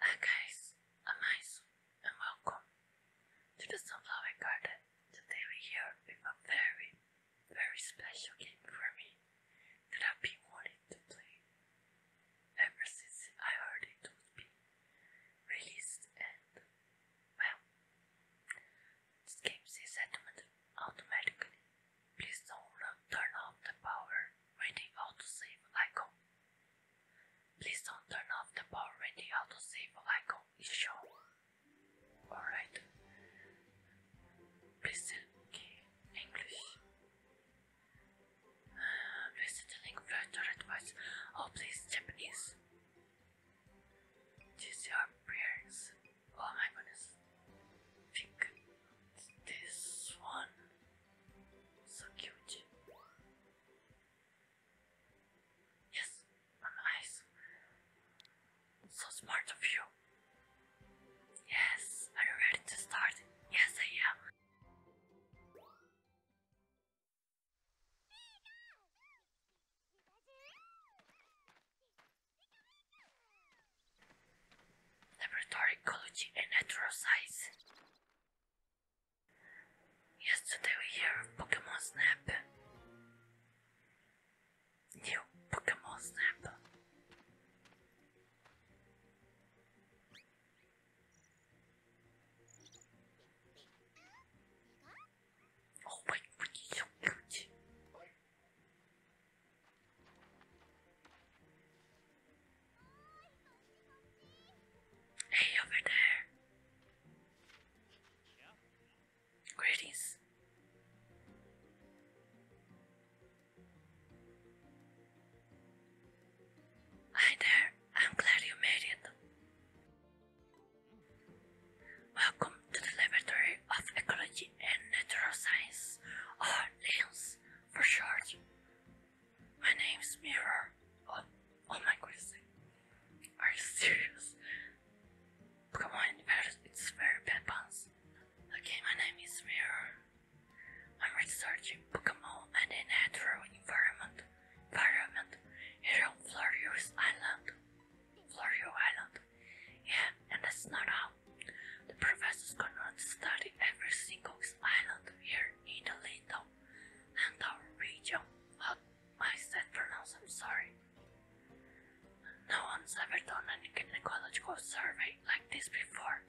Hi guys, I'm Ice and welcome to the Sunflower Garden. Today we're here a very, very special game for me that I've been wanting to play ever since I heard it would be released and, well, this game says automatically, please don't turn off the power when the autosave icon. Please don't turn off the power when the autosave icon is oh, shown. Alright. Please key English. Uh, please the link further advice. Oh please Japanese. These are prayers. Oh my goodness. Think this one so cute. Yes, I'm So smart of you. Yes, are you ready to start? Yes, I am. Laboratory ecology and natural science. Yesterday we hear Pokemon Snap. New Pokemon Snap. Oh my god, Hey, over there. Yeah. Hi there, I'm glad you Welcome to the Laboratory of Ecology and Natural Science, or LIMS for short. My name is Mirror. Oh, oh my goodness. Are you serious? Come it's very bad puns. Okay, my name is Mirror. I'm researching Pokemon and a natural environment. Environment here on Florio Island. Florio Island. Yeah, and that's not how the professor's gonna study every single island here in the Lindau and our region. What I said pronounce, I'm sorry. No one's ever done an ecological survey like this before.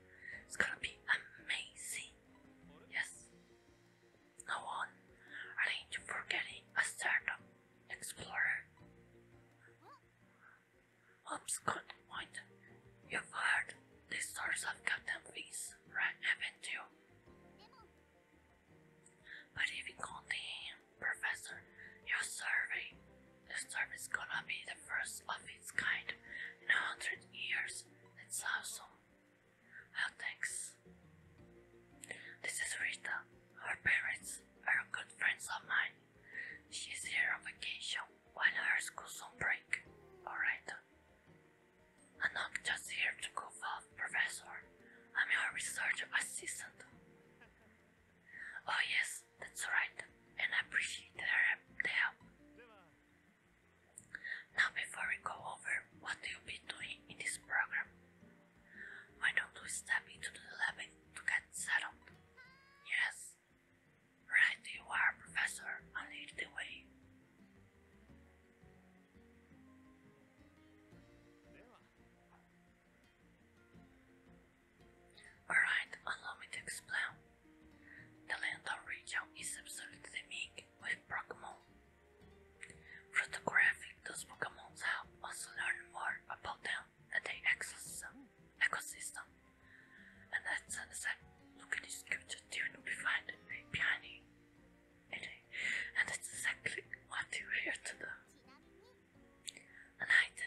It's gonna be amazing. Yes. No one arranged for getting a startup explorer. Obscott Point. You've heard the source of Captain Fizz, right, haven't you? But if you call professor your survey, the survey's gonna be the first of its kind in a hundred years. It's awesome. Well, thanks. This is Rita. Her parents are good friends of mine. She's here on vacation while our school's on break, alright? I'm not just here to goof off, Professor. I'm your research assistant. Oh yes, that's right, and I appreciate the help. Now before we go over what you'll be doing in this program, why don't we step into the lab to get settled? Yes yes. Right you are, Professor, and lead the way. Alright, allow me to explain. The Landor region is absolutely big with Pokemon. Through the Pokemons help us learn more about them and they access the ecosystem, ecosystem. And at sunset, look at this sculpture tune behind behind it. And that's exactly what you are here to do. At night,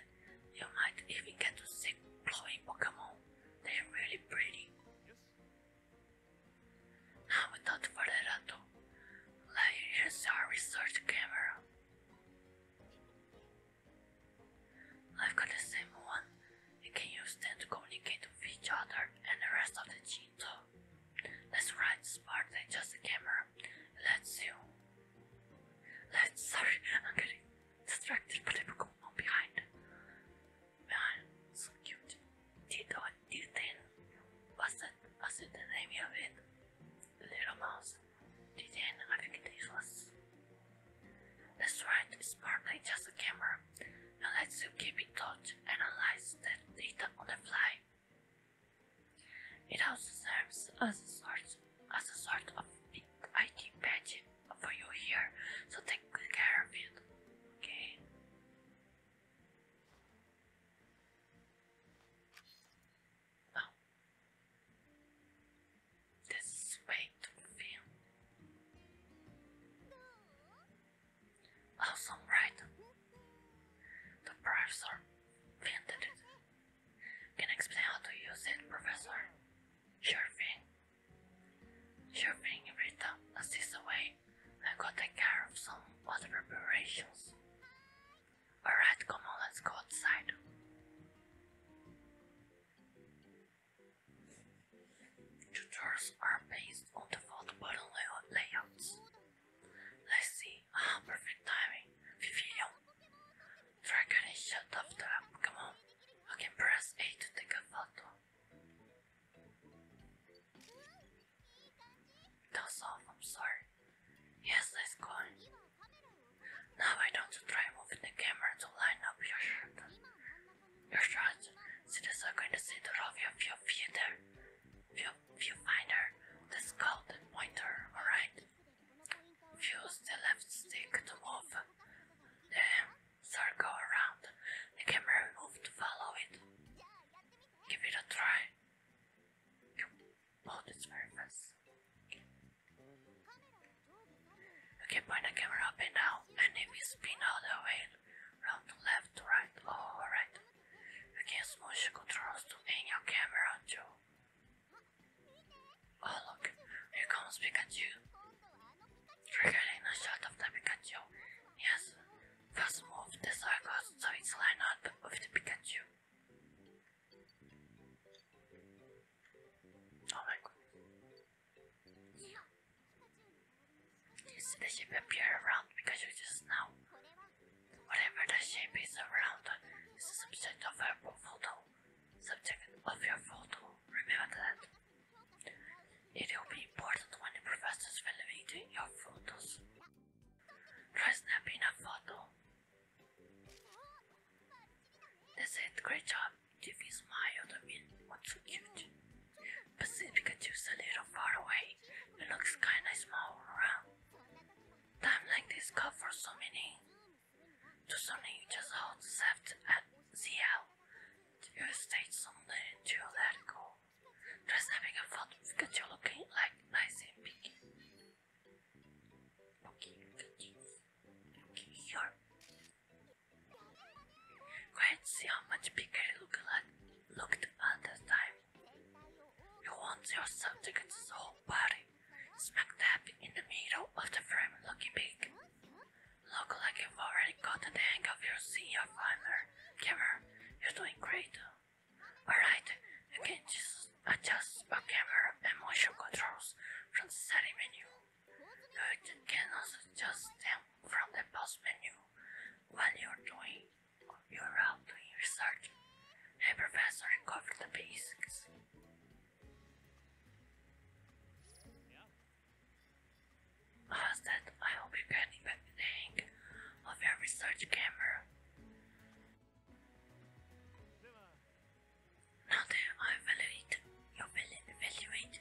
you might even get to see glowing Pokemon. They're really pretty. Now without further ado, like here's our research camera. I've got the same one and can use them to communicate with each other and the rest of the team too. That's right, smart than just a camera. Let's you. Let's, sorry, I'm getting distracted But by the Pokemon behind. Behind, so cute. Tito and Tilton. Was that, was it the name of it? Little mouse. Didn't I think it useless? That's right, it's partly just a camera and lets you keep in touch and analyze that data on the fly. It also serves as a sort as a sort of big IT for you here, so take good care of it. Okay. Well, oh. this is way Awesome, right? The professor invented it. Can explain how to use it, Professor? Sure thing. Sure thing, Rita. As this away, I got take care of some other preparations. Alright, come on, let's go outside. Tutors are based on default button lay layouts. Let's see. Ah, perfect timing. Vivian. Dragon is shut off the Come on. I can press A to take a photo. That's off, I'm sorry. Yes, let's go now I don't try moving the camera to line up your shirt. Your shots, students are going to see the of your view theater, view, viewfinder, that's called pointer, alright? Use the left stick to move the circle around. The camera move to follow it. Give it a try. Oh, it's very fast. You Okay, point the camera up and down, and if you spin all the way around the left to right or oh, right, you can smush controls to aim your camera too. Oh look, here comes Pikachu. Triggering the shot of the Pikachu. Yes, first move the circles so it's lined up with Pikachu. Oh my god. The shape appear around because you just now. Whatever the shape is around is the subject of your photo. Subject of your photo. Remember that. It will be important when the professor is evaluating your photos. Try snapping a photo that's it, great job. If you smile, I what's so cute? Pacifica Pikachu's a little far away, it looks kinda small around. like this call for so many. To something you just hold left at CL. You state something to let go. Just fun Pikachu looking like nice and big. Okay, Go ahead and see how much bigger look like, looked at this time. You want your subject's whole body smack dab in the middle of the frame looking big. Look like you've already gotten the hang of your senior farmer. Camera, you're doing great. Alright, you just First, adjust the camera and motion controls from the setting menu. You can also adjust them from the pause menu while you're doing your route doing research. Hey professor, cover the basics. How's that? I hope you get the of your research camera. Now I evaluate, you evaluate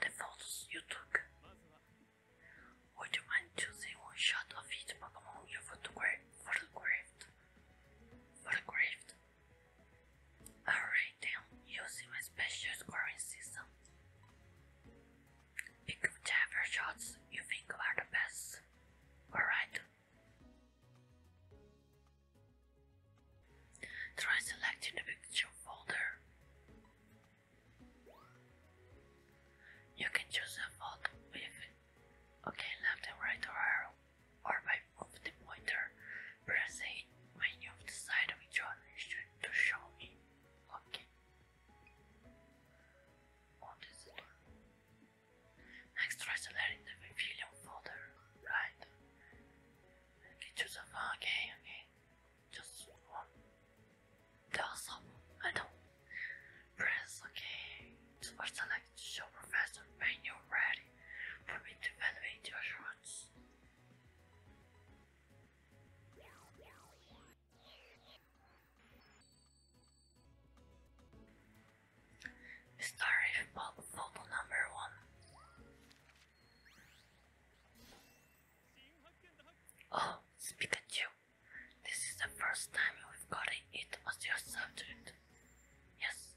the photos you took. Would you mind choosing one shot of each Pokemon you photographed? Photographed? Photographed? Alright then, using my special scoring system. Pick whichever shots you think are the best. Alright. Try selecting the picture folder. You can choose a folder with OK left and right arrow or by moving the pointer, press when you've which one to show me. OK. Extracellar in the Vivilion folder, right? Get yourself uh, okay, okay. Just one. Tell I don't. Press okay. Super select to show Professor when you're ready for me to evaluate your assurance. Star photo number one. Oh, Pikachu. This is the first time we've gotten it as your subject. Yes.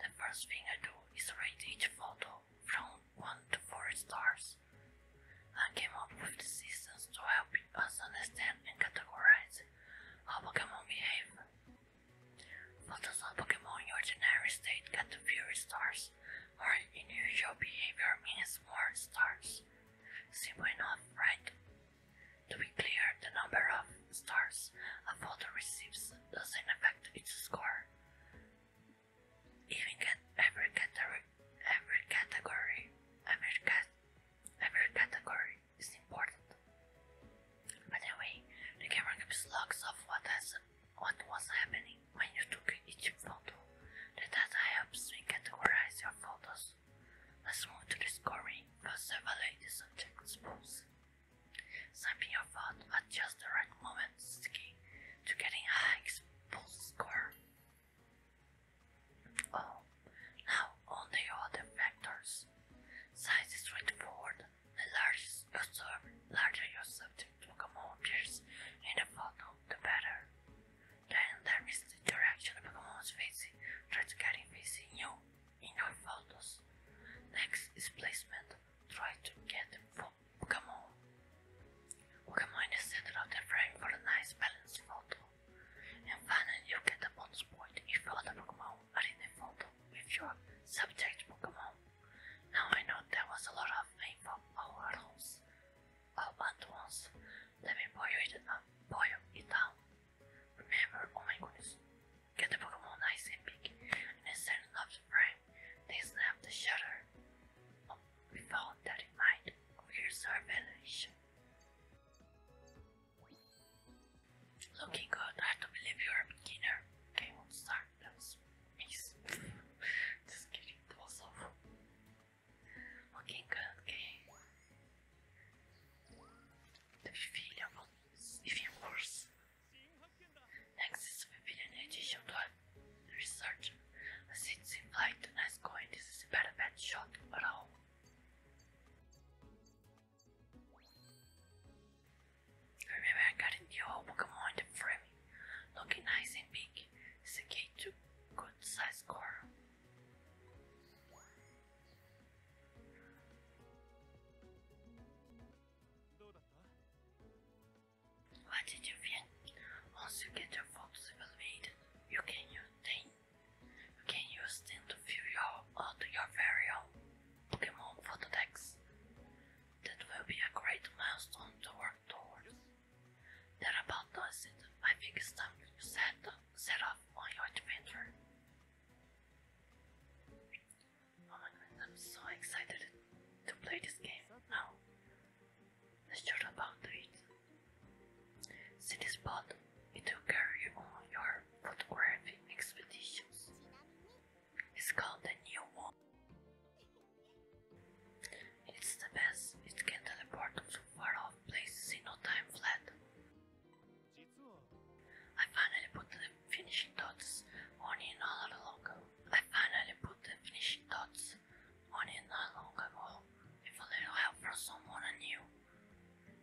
The first thing I do is rate each photo from 1 to 4 stars. I came up with the seasons to help us understand and categorize how Pokemon behave. Photos of Pokemon in your ordinary state get the fewer stars, or unusual behavior means more stars. Simple enough, right? To be clear, the number of stars a photo receives doesn't affect its score. Even get every category, every category, every cat, every category it's important. By the way, the camera keeps logs of what has what was happening when you took each photo. The data helps me categorize your photos. Let's move to the scoring. First evaluate the subject's pose. your photo at just the right moment to getting a high score. Oh, now on the other factors. Size is straightforward. The largest you serve, larger your subject to Pokemon appears in the photo, the better. Then there is the direction the Pokemon's facing, try to get facing you in your photos. Next is placement, try to get the Pokemon. Pokemon in the center of the frame for a nice balanced photo. And finally you get the bonus point if you the Pokemon are in the photo with your subject Pokemon. Now I know that was a lot of info all at once. All at once. Let me boil it up, boil you down. Uh, Remember, oh my goodness, get the Pokemon nice and big. And instead of the frame, they snap the shutter. Um, we found that in mind. Here's our evaluation. Looking good, I don't believe you're a beginner. Okay, we'll start. That was ace. Just kidding, that was awful. Looking good, okay. The pavilion will even worse. Next is the pavilion edition to research. I see it seems like nice going. This is a better bad shot, but oh. Remember I got a new Pokemon to frame, looking nice and big. It's a good size score. What did you feel? Once you get your photos evaluated, you can use them you can use them to fill your uh, your very own Pokemon Photodex. That will be a great milestone to work towards. That about does it. I think it's time you set, set off on adventure. Oh my god, I'm so excited to play this game now. Let's chat about it. Since spot, body, he took carry on your photography expeditions. It's called the New One. It's the best. It can teleport to far-off places in no time flat. I finally put the finishing dots on in all I finally put the finishing dots on in all along a little help from someone I knew.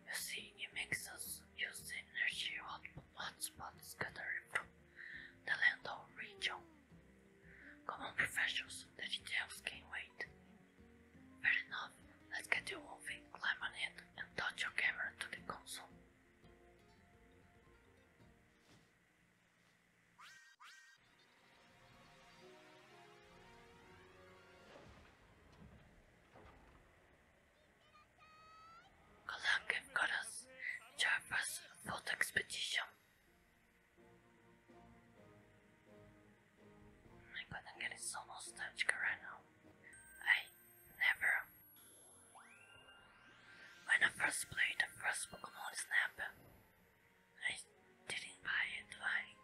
You see, it makes us use the energy of hotspots scattered from the Landau region. Common professions, the details can wait. Fair enough, let's get you moving, climb on it, and touch your camera to the console. I'm gonna get so nostalgic right now. I never. When I first played the first Pokemon Snap, I didn't buy it like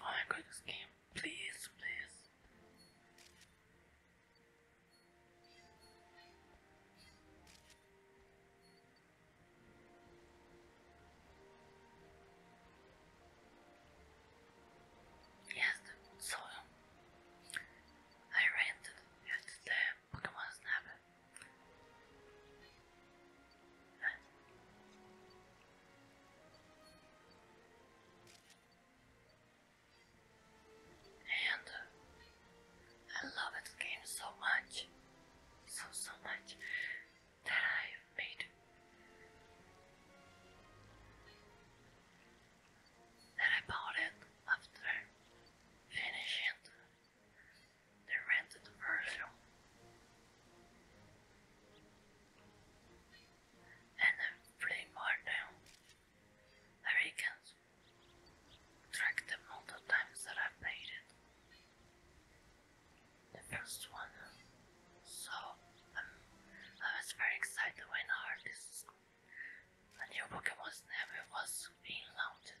Oh my god, Please, please. Yes, so I rented at the Pokemon Snap and I love this game so much, so so much that I made that I bought it after finishing they rented the version. And I play more now. I can track the amount of times that I played it. The first one. So um, I was very excited when I heard this. A new Pokemon name was being launched.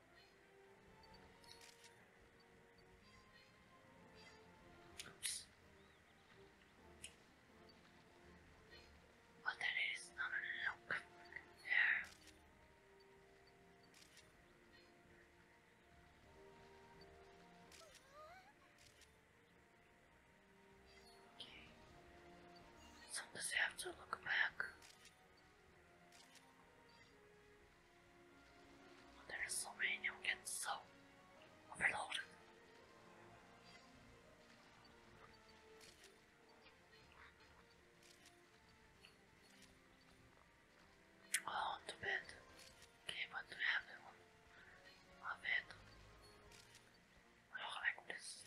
Oops. that is, look there. Okay. Sometimes you have to look back. There's so many i get so overloaded. Oh, too bad. Okay, but we have the one. My bad. I don't like this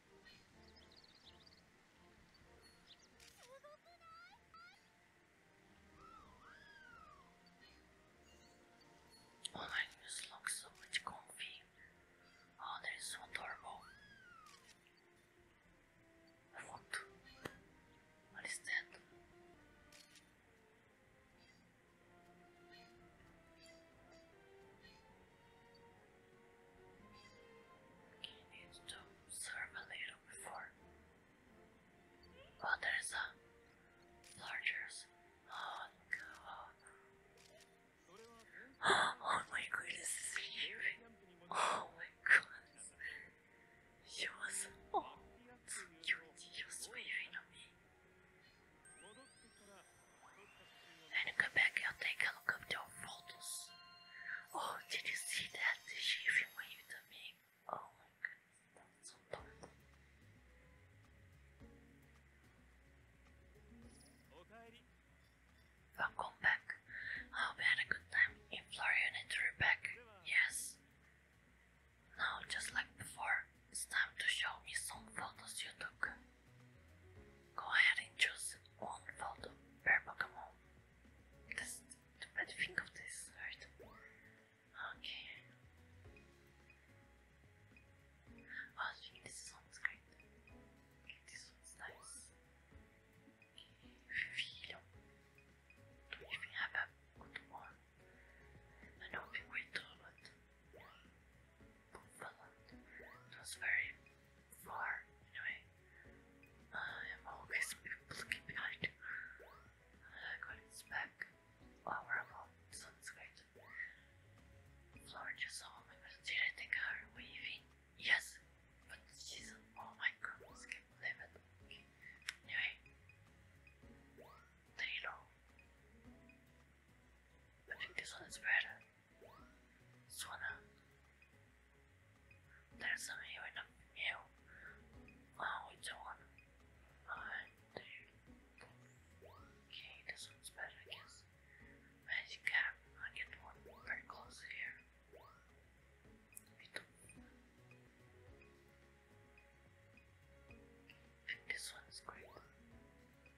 Online oh, news looks so much comfy. Oh, that is so adorable. What? What is that? You need to observe a little before. Oh, there's a larger. Oh, God. Oh, my goodness, Oh, my goodness. She was. Oh, you, she was me. Then come back, i take a look at your photos. Oh, did you see that? Did She even waved at me. Oh my goodness, that's so dark. Welcome back. I hope you had a good time. In Florida, Yes. Now, just like before, it's time to show me some photos you took. Go ahead and choose one of per Pokemon. That's the bad thing this, right? Okay. Oh, I think this one's great. this one's nice. Filho, do you even have a good one? I don't think we do, followed. It was very far, anyway. I am always looking behind. I got back. Wow, we great. Floor just oh my god, waving? Yes, but she's oh my god, can't believe it. Anyway, there you go. I think this one is better. Sona. There's some here in the meal. Oh, it's one. Okay, this one's better, I guess. Magic I get one very close here. this one's great.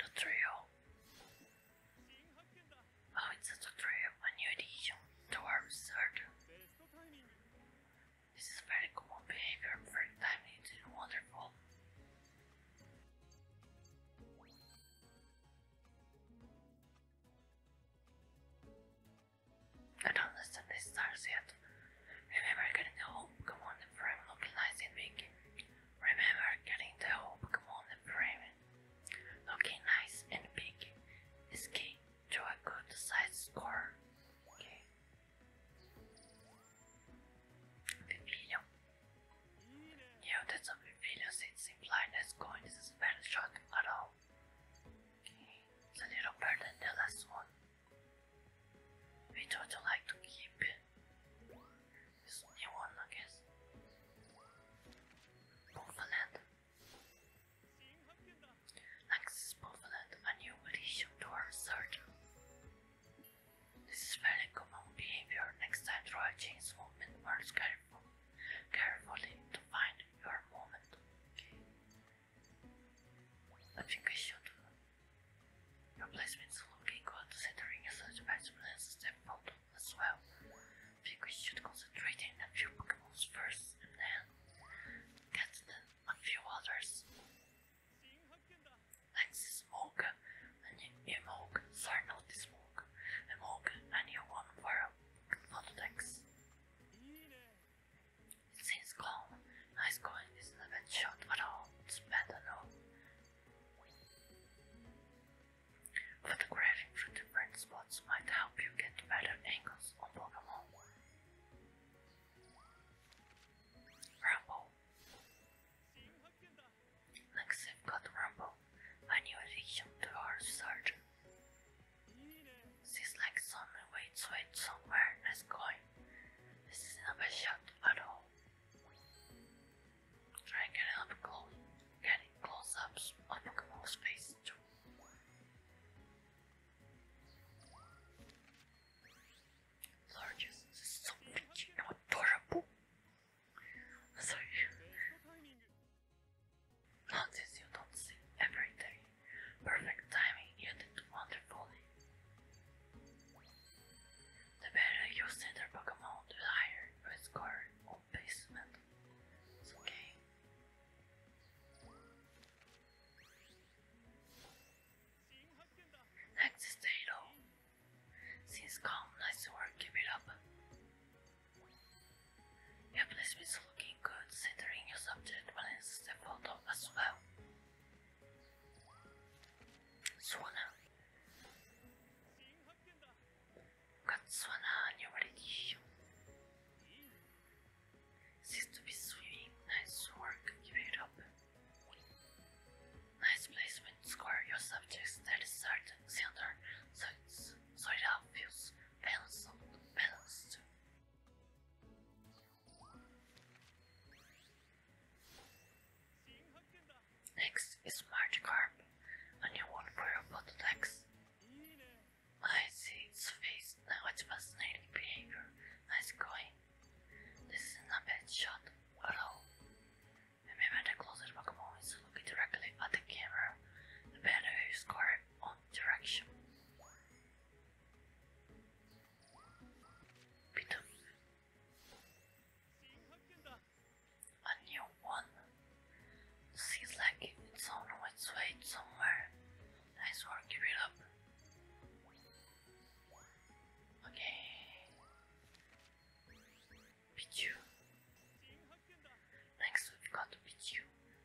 The trio. Oh, it's such trio, a new addition to This is very common behavior, very timely and wonderful. I don't understand these stars Remember getting the hope, on the frame looking nice and big. Remember getting the hope, on the frame looking nice and big is key to a good size score. Okay. Pipilio. Yeah, that's a Pipilio, it's implied that going this is very short at all. It's a little better than the last one which would you like to keep? This new one, I guess. Poveland. Access Poveland, a new addition to our This is very common behavior. Next time try chains movement, march careful, carefully to find your movement. Okay. I your placement is looking good considering such batsman as Stepbot as well. I think we should concentrate in a few Pokémons first and then get in a few others. Like Smoke and Emoke, sorry not Smoke, Emoke and you one for, for the It seems calm High scoring is not a bad shot, at I'll spend on all. Photographing from different spots might help you get better angles on Pokemon. Rumble. Next, i got Rumble, a new addition to our surgeon. Seems like someone waits wait somewhere and going. isn't a bad shot at all. I can help close, getting close-ups on Pokemon's face too. Largest so bitchy and adorable. Sorry. Notice you don't see every day. Perfect timing, you did wonderfully. The better you see their Pokemon, the higher your score on basement. It's okay. Next is Tato. Seems calm, nice work, keep it up. Your placement is looking good, centering your subject balances the photo as well. Katsuana, what did you? Seems to be swimming. Nice work. Give it up. Nice placement. Square your subjects. That is certain. Center. So it's so it feels balanced. Balanced. Next is Magikarp, a new one for your Potodex. I see its face now, its fascinating behavior. Nice going. This is a bad shot at all. Remember, the closest Pokemon is looking directly at the camera, the better you score on direction. Putain. A new one. Seems like it's on its way somewhere. Nice work, it up. Okay. Pichu. Next we've got Pichu.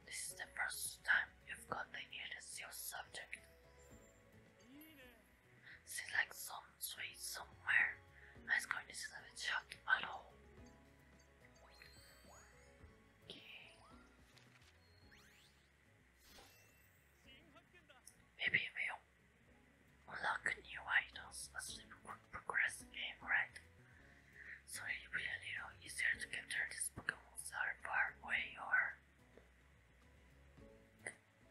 This is the first time you've got the hear this your subject. It's like some sweet somewhere. I was going to sleep with shot at all. Okay. Maybe we'll unlock new items as we progress game, right? So it'll be a little easier to capture these Pokemon's are far away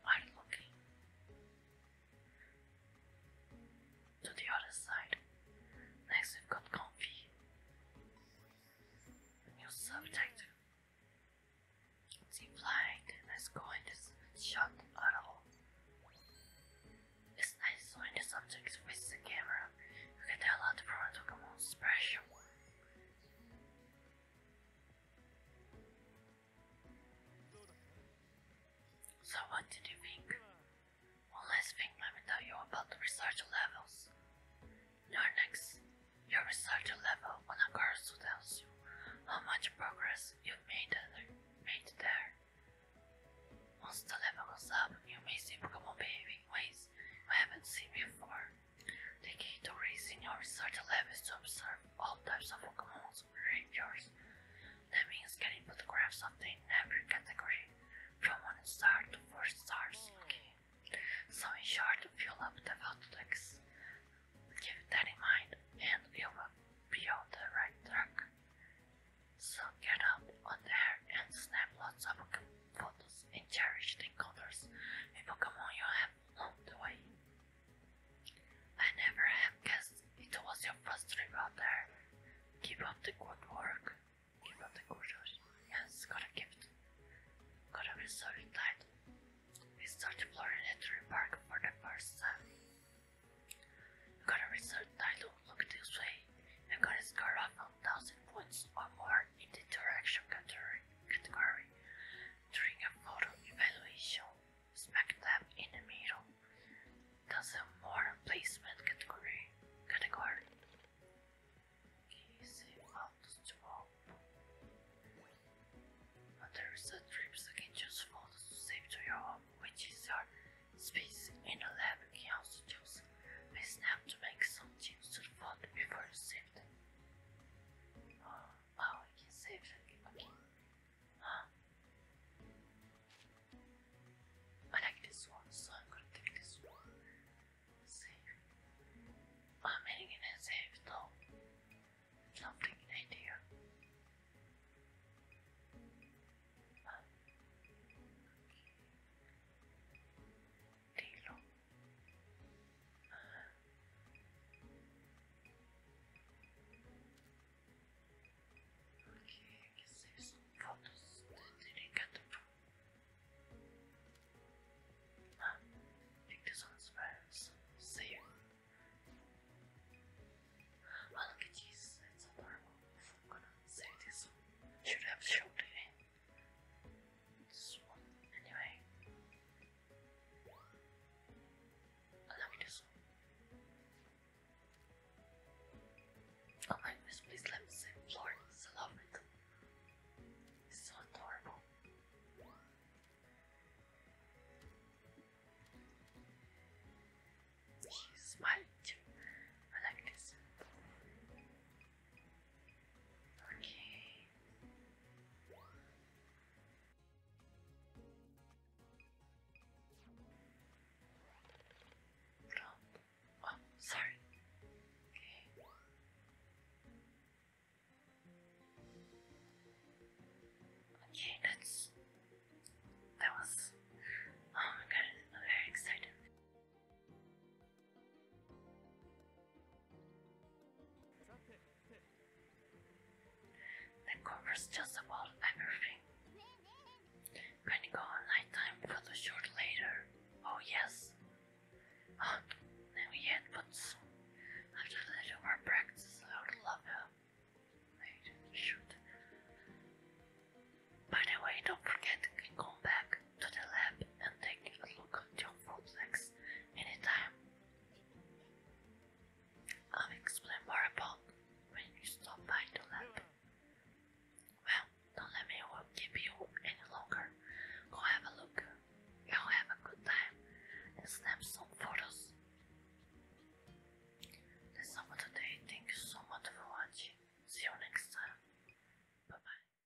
I'm looking to the other side. Next, we've got comfy. new subject. It's implied. Let's this shot at all. It's nice when the subject faces the camera. You can tell a lot from Pokemon's expression. So what did you think? One last thing let me tell you about research levels. your next, your research level on a course tells you how much progress you've made, there. Once the level goes up, you may see Pokemon behaving ways you haven't seen before. The key to raising your research lab is to observe all types of Pokemons and rangers. That means getting photographs of them every category, from 1 star to 4 stars lucky. So in short, fill up the vaults. decks. that in mind and you will be on the right track. So get up on there and snap lots of photos and cherish the encounters with Pokemon you have am the way. I never have guessed it was your first trip out there. Keep up the good work. Keep up the good work. Yes, got a gift. Got a resurgent light. We start exploring Entry Park for the first time. You got a research title, look this way. You got to score a 1000 points or more in the direction category during a photo evaluation. Smack dab in the middle. That's a more placement category. Category. Easy photos to open. But there is a trip you can choose photos to save to your home, which is your space in a lab. You can also choose a snap to make some to the before save. Oh, I can save them. Huh? I I'm gonna take I'm hitting it and save though. Something in idea. Huh? Okay, I guess there's some photos that did Ah, I think this one's friends. Save. Oh, look at this, it's adorable. I'm gonna save this one. Should have Swoop. Anyway. Allow me to swoop. Oh my goodness, please let me save Florence. I love it. It's so adorable. She's smiling I like this. Okay. Drop. Oh, oh, sorry. Okay. Okay, that's. That was. Oh my god, I'm very excited. That covers just about everything. Gonna go on nighttime photoshoot later. Oh yes. Oh, not yet, but soon. After a little more practice, I would love her. shoot. By the way, don't forget to come back to the lab and take a look at your vortex anytime. I'll explain more about when you stop by the lab. Well, don't let me keep you any longer. Go have a look. You'll have a good time and snap some photos. That's all for today. Thank you so much for watching. See you next time. Bye bye.